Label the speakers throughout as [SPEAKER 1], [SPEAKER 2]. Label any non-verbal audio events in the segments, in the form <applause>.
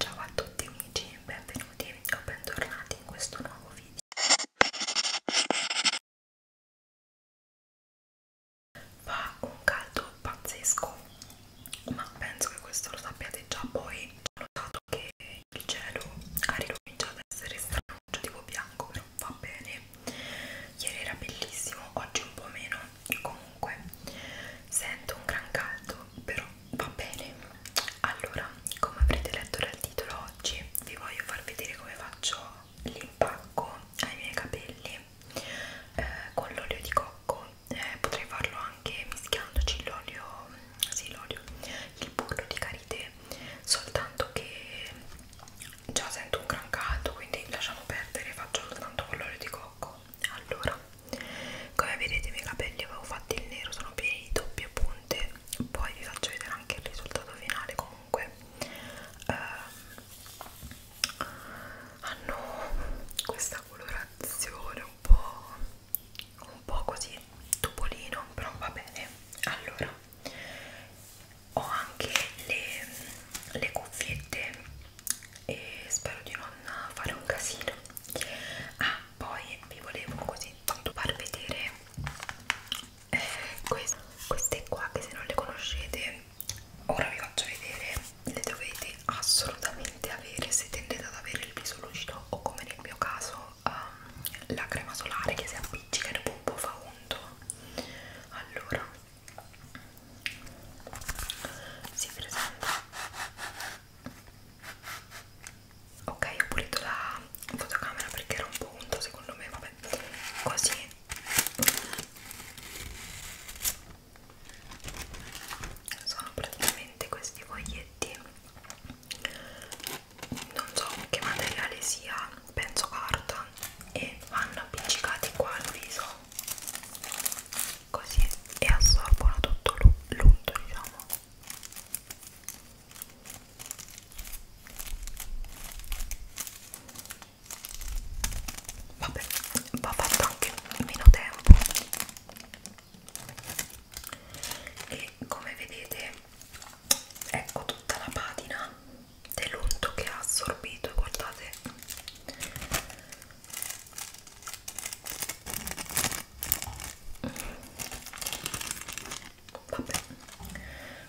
[SPEAKER 1] Ciao a tutti amici, benvenuti o bentornati in questo nuovo video. Fa un caldo pazzesco, ma penso che questo lo sappiate già. Poi ho notato che il cielo ha ricominciato ad essere strano, tipo bianco, che non va bene. Ieri era bellissimo, oggi un po' meno. Comunque, sento un gran caldo, però va bene allora come avrete letto dal titolo oggi vi voglio far vedere come faccio l'impacco ai miei capelli eh, con l'olio di cocco eh, potrei farlo anche mischiandoci l'olio mm, sì l'olio il burro di karité soltanto che già sento un gran caldo quindi lasciamo perdere faccio soltanto con l'olio di cocco allora come vedete i miei capelli avevo fatto il nero sono pieni di doppie punte poi vi faccio vedere anche il risultato finale comunque eh, hanno ah questa colorazione un po' un po' così topolino però va bene allora ho anche le, le cuffiette e spero di non fare un casino ah poi vi volevo così tanto far vedere eh, queste, queste qua che se non le conoscete ora vi faccio vedere le dovete assolutamente avere se tendete ad avere il viso lucido o come nel mio caso um, la crema solare che si appiccica e dopo un po' fa unto allora si presenta ok ho pulito la fotocamera perché era un po' unto secondo me vabbè così sono praticamente questi foglietti non so che materiale sia penso carta e vanno appiccicati qua al viso così e assorbono tutto l'unto diciamo vabbè va fatto anche meno tempo e come vedete ecco tutta la patina dell'unto che ha assorbito guardate Vabbè.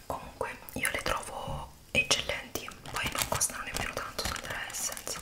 [SPEAKER 1] Comunque io le trovo eccellenti, poi non costano nemmeno tanto sono della Essence.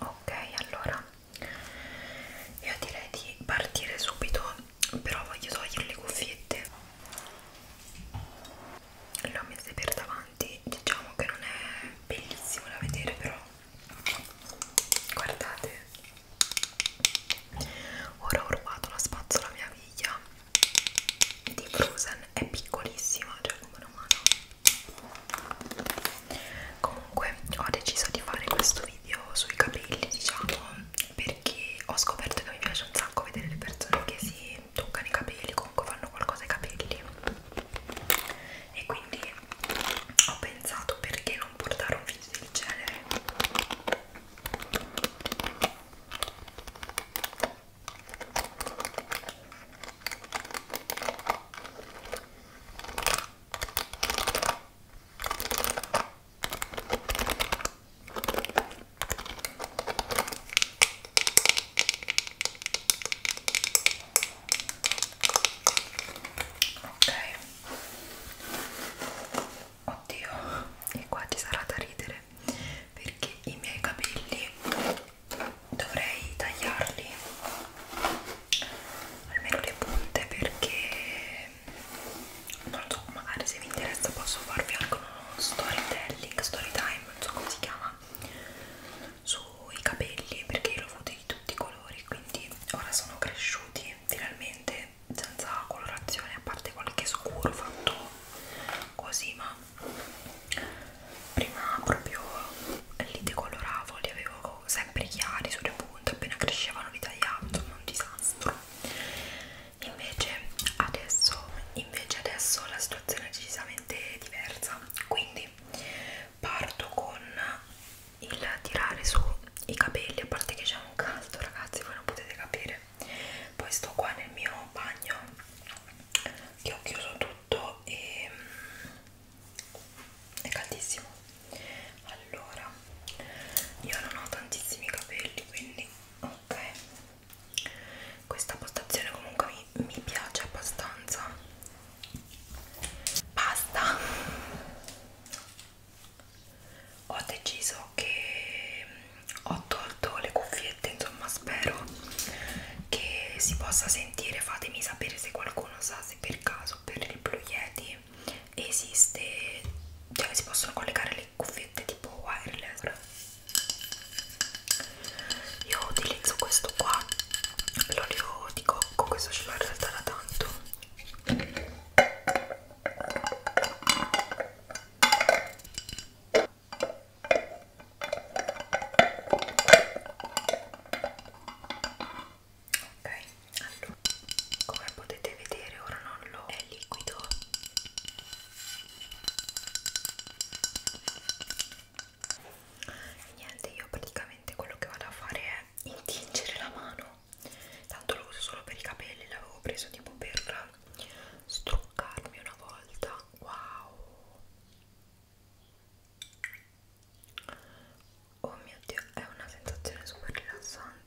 [SPEAKER 1] Ok, allora io direi di partire subito, però voglio togliere le cuffiette. Le ho messe per davanti, diciamo che non è bellissimo da vedere, però guardate ora ho rubato la spazzola mia figlia di Frozen è piccolissima cioè come una mano comunque ho deciso di fare questo video sui capelli diciamo perché ho scoperto che mi piace un sacco vedere le persone che si toccano i capelli comunque fanno qualcosa ai capelli e quindi ho pensato perché non non portare un video del genere ok oddio e qua ci sarà da ridere perché i miei capelli dovrei tagliarli almeno le punte perché non lo so magari se vi interessa posso farvi anche uno storytelling story time non so come si chiama su fatto i capelli perché li ho avuti di tutti i colori quindi ora sono cresciuti finalmente senza colorazione a parte qualche scuro fatto così ma prima proprio li decoloravo li avevo sempre chiari sulle punte appena crescevano li tagliavo insomma un disastro invece adesso invece adesso la situazione è decisamente diversa quindi parto con il tirare su i capelli, a parte che c'è un caldo ragazzi, voi non potete capire. Poi sto qua nel mio bagno che ho chiuso tutto e mm, è caldissimo. Allora, io non ho tantissimi capelli, quindi ok. Questa postazione comunque mi, mi piace abbastanza basta ho deciso che mm, ho tolto le cuffiette insomma spero che si possa sentire fatemi sapere se qualcuno sa se per caso per il Blue Yeti esiste cioè si possono collegare le cuffiette tipo wireless io utilizzo questo qua l'olio di cocco, questo ce l'ho in realtà da tanto ok, allora come potete vedere ora non lo è liquido e niente io praticamente quello che vado a fare è intingere la mano tanto lo uso solo per i capelli l'avevo preso tipo per struccarmi una volta wow oh mio dio è una sensazione super rilassante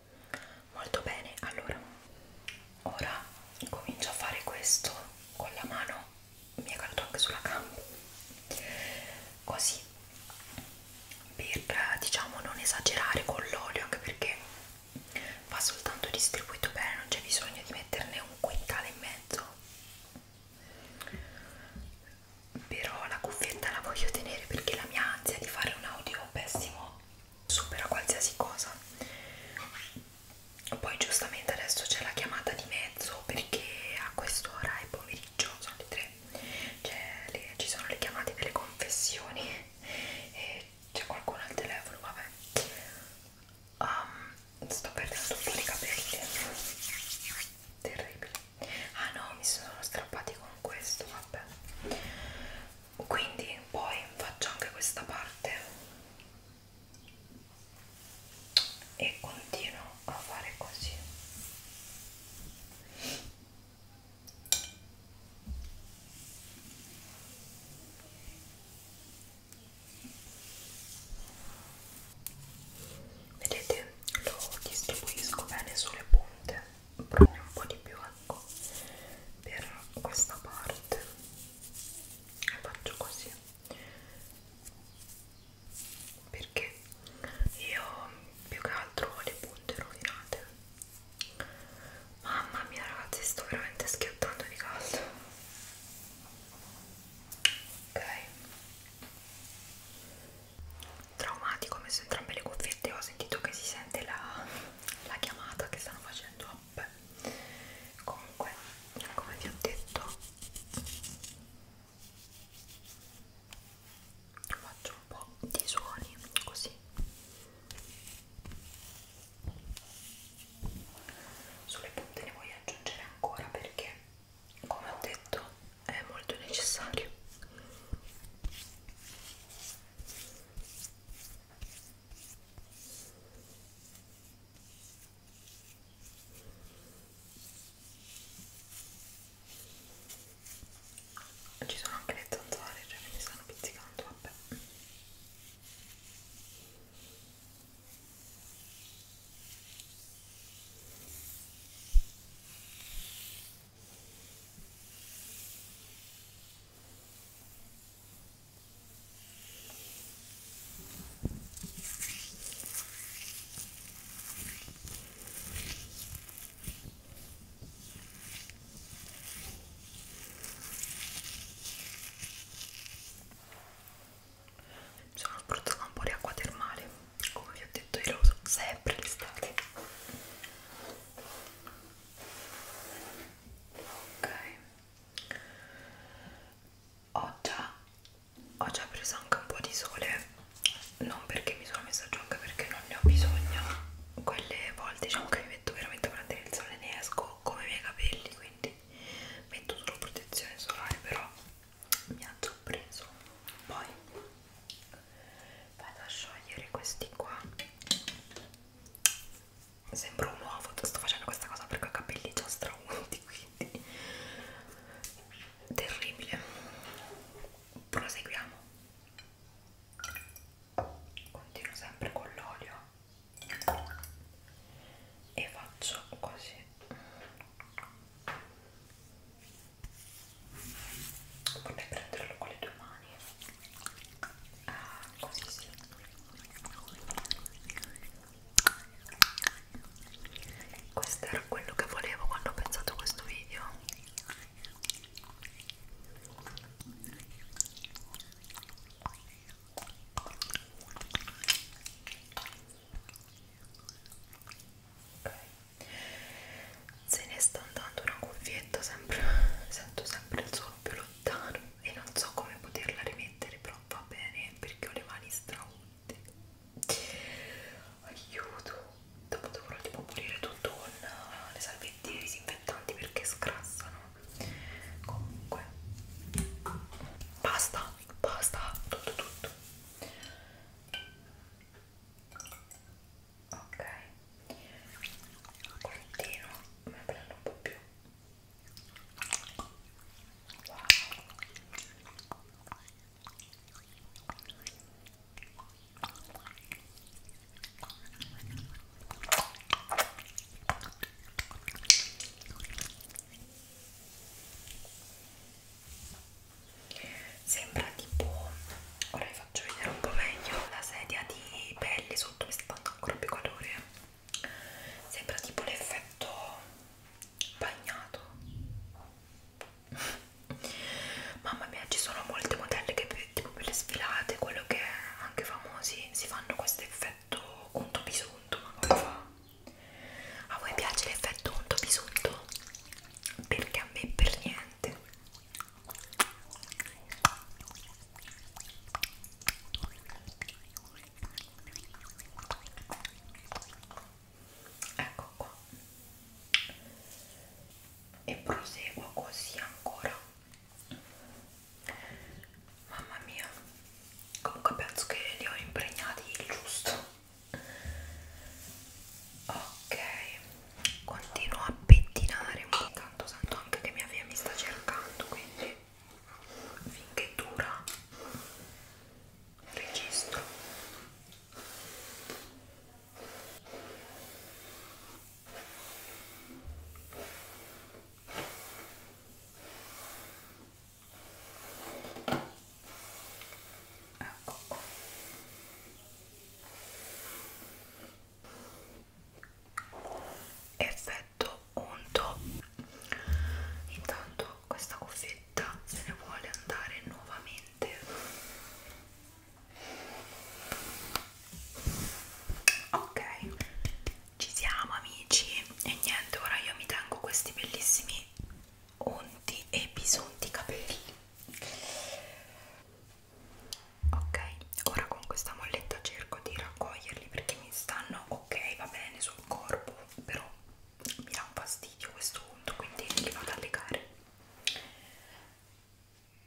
[SPEAKER 1] molto bene allora ora comincio a fare questo con la mano mi è caduto anche sulla gamba così per diciamo non esagerare con l'olio anche perché va soltanto distribuito bene non c'è bisogno di metterne un quintale in mezzo però la cuffietta la voglio tenere perché la mia ansia di fare un audio pessimo supera qualsiasi cosa poi giustamente adesso c'è la chiamata di mezzo perché a quest'ora è pomeriggio sono le tre le, ci sono le chiamate delle confessioni e c'è qualcuno al telefono vabbè um, sto perdendo un po' di capelli terribile ah no mi sono strappati con questo vabbè quindi poi faccio anche questa parte e continuo a fare così vedete lo distribuisco bene sulle punte proprio un po' di più a eh bianco per questa parte e faccio così perché io più che altro ho le punte rovinate mamma mia ragazzi sto veramente schiottando di caldo ok traumatico ho messo entrambe le cuffie dirette ho sentito che si sente la, la chiamata che stanno facendo Vabbè. comunque come vi ho detto faccio un po' di suoni così sulle punte ne voglio aggiungere ancora perché come ho detto è molto necessario ci sono anche le zanzare, cioè mi stanno pizzicando, vabbè sono abbrutata un po' di acqua termale come vi ho detto io lo uso sempre l'estate ok ho già, ho già preso anche un po' di sole non perché mi sono messa giù anche perché non ne ho bisogno quelle volte diciamo che mi metto veramente a prendere il sole e ne esco come i miei capelli quindi metto solo protezione solare però mi ha già preso poi vado a sciogliere questi qua sembro un uovo sto facendo questa cosa perché ho i capelli già straunti quindi terribile proseguiamo continuo sempre con l'olio e faccio così vorrei prenderlo con le due mani mani ah, così sì questo era quello che volevo quando ho pensato a questo video okay se ne sta andando una cuffietta sempre sento sempre il suono più lontano e non so come poterla rimettere però va bene perché ho le mani straunte aiuto dopo dovrò tipo pulire tutto con eh, le salviette disinfettanti perché scrassano comunque basta basta tutto tutto ok continuo ma prendo un po' più wow Sembra tipo, ora vi faccio vedere un po' meglio la sedia di pelli sotto mi sta dando ancora più calore sembra tipo l'effetto bagnato <laughs> mamma mia ci sono molte modelle che tipo per le sfilate quello che è, anche famosi si fanno questo effetto unto bisunto ma come fa? a voi piace l'effetto unto bisunto? perché a me per niente ecco qua e proseguo così ancora mamma mia comunque penso che li ho impregnati il giusto ok continuo a pettinare ogni tanto sento anche che mia figlia mi sta cercando quindi finché dura registro Ecco qua effetto unto intanto questa cuffietta se ne vuole andare nuovamente ok ci siamo amici e niente ora io mi tengo questi bellissimi unti e bisunti capelli ok ora con questa molletta cerco di raccoglierli perché mi stanno ok va bene sul corpo però mi dà un fastidio questo punto quindi li vado a legare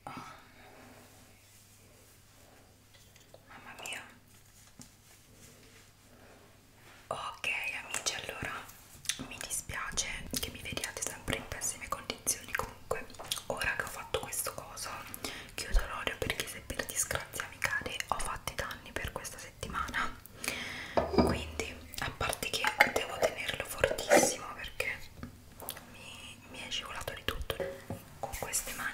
[SPEAKER 1] oh. mamma mia ok amici allora mi dispiace che mi vediate sempre in pessime condizioni comunque ora che ho fatto questo coso chiudo l'olio perché se per disgrazia mi cade ho fatto i danni per questa settimana quindi a parte che devo tenerlo fortissimo perché mi, mi è scivolato di tutto con queste mani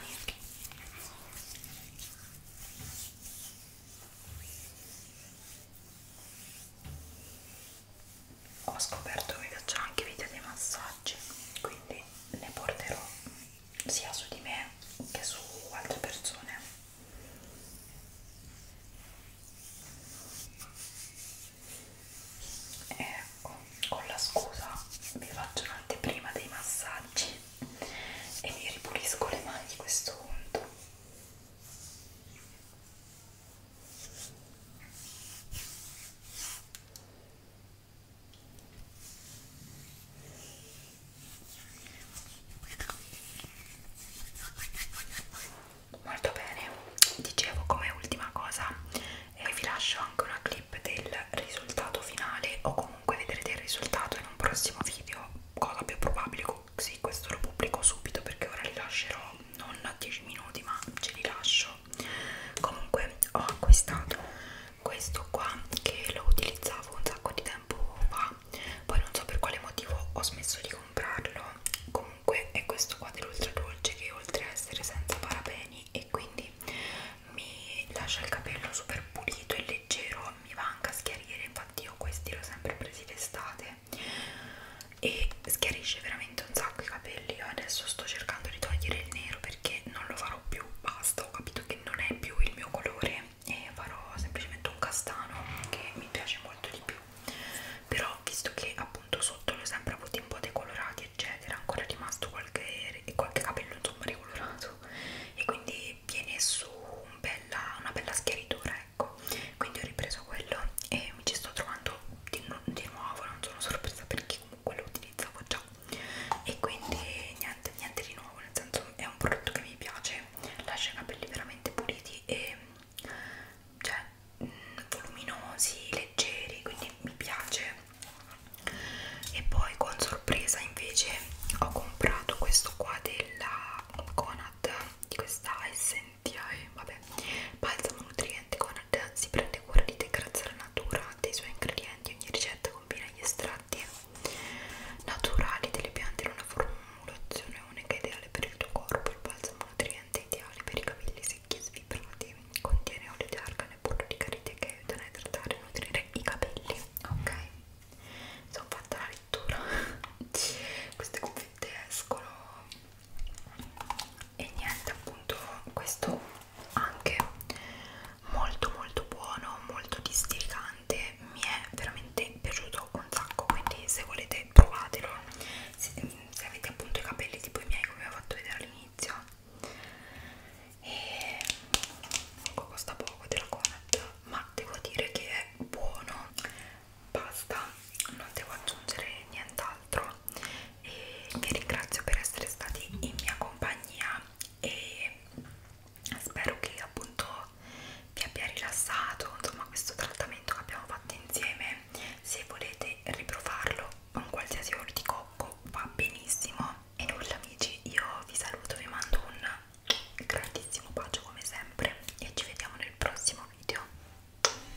[SPEAKER 1] ho scoperto che mi piacciono anche video dei massaggi quindi ne porterò sia su di me che su altre persone e con la scusa vi faccio un'anteprima dei massaggi e mi ripulisco le mani questo punto Molto bene, dicevo come ultima cosa eh, vi lascio anche una clip del risultato finale o comunque vedrete il risultato in un prossimo video, cosa più probabile, sì questo lo pubblico subito perché ora li lascerò non 10 minuti ma ce li lascio comunque ho acquistato questo qua che lo utilizzavo un sacco di tempo fa poi non so per quale motivo ho smesso di comprarlo comunque è questo qua dell'ultra dolce che oltre a essere senza parabeni e quindi mi lascia il capello super pulito e leggero mi va anche a schiarire infatti io questi l'ho sempre presi d'estate e schiarisce veramente un sacco i capelli io adesso sto cercando di togliere il nero perché non lo farò più basta ho capito che non è più il mio colore e farò semplicemente un castano che mi piace molto di più però visto che appunto sotto l'ho sempre avuto un po' decolorati eccetera ancora è rimasto qualche, qualche capello insomma decolorato e quindi viene su un bella, una bella schiaritura ecco quindi ho ripreso quello e mi ci sto trovando di, di nuovo non sono sorpresa perché comunque lo utilizzavo già e quindi niente niente di nuovo nel senso è un prodotto che mi piace lascia i capelli veramente puliti e cioè mm, voluminosi leggeri quindi mi piace e poi con sorpresa invece ho comprato questo qua della Conad di questa SN e vabbè balsamo nutriente con si prende cura di te grazie alla natura dei suoi ingredienti ogni ricetta combina gli estratti naturali delle piante in una formulazione unica ideale per il tuo corpo il balsamo nutriente ideale per i capelli secchi e svibrati contiene olio di argano e burro di carite che aiutano a idratare e nutrire i capelli ok sono fatta la lettura <laughs> queste cuffiette escono e niente appunto questo anche molto molto buono molto districante mi è veramente piaciuto un sacco quindi se volete provatelo se, se avete appunto i capelli tipo i miei come vi ho fatto vedere all'inizio e comunque costa poco della Comet ma devo dire che è buono basta non devo aggiungere nient'altro insomma e vi ringrazio per essere stati in mia compagnia e spero che appunto vi abbia rilassato insomma questo trattamento che abbiamo fatto insieme se volete riprovarlo con qualsiasi olio di cocco va benissimo e nulla amici io vi saluto vi mando un grandissimo bacio come sempre e ci vediamo nel prossimo video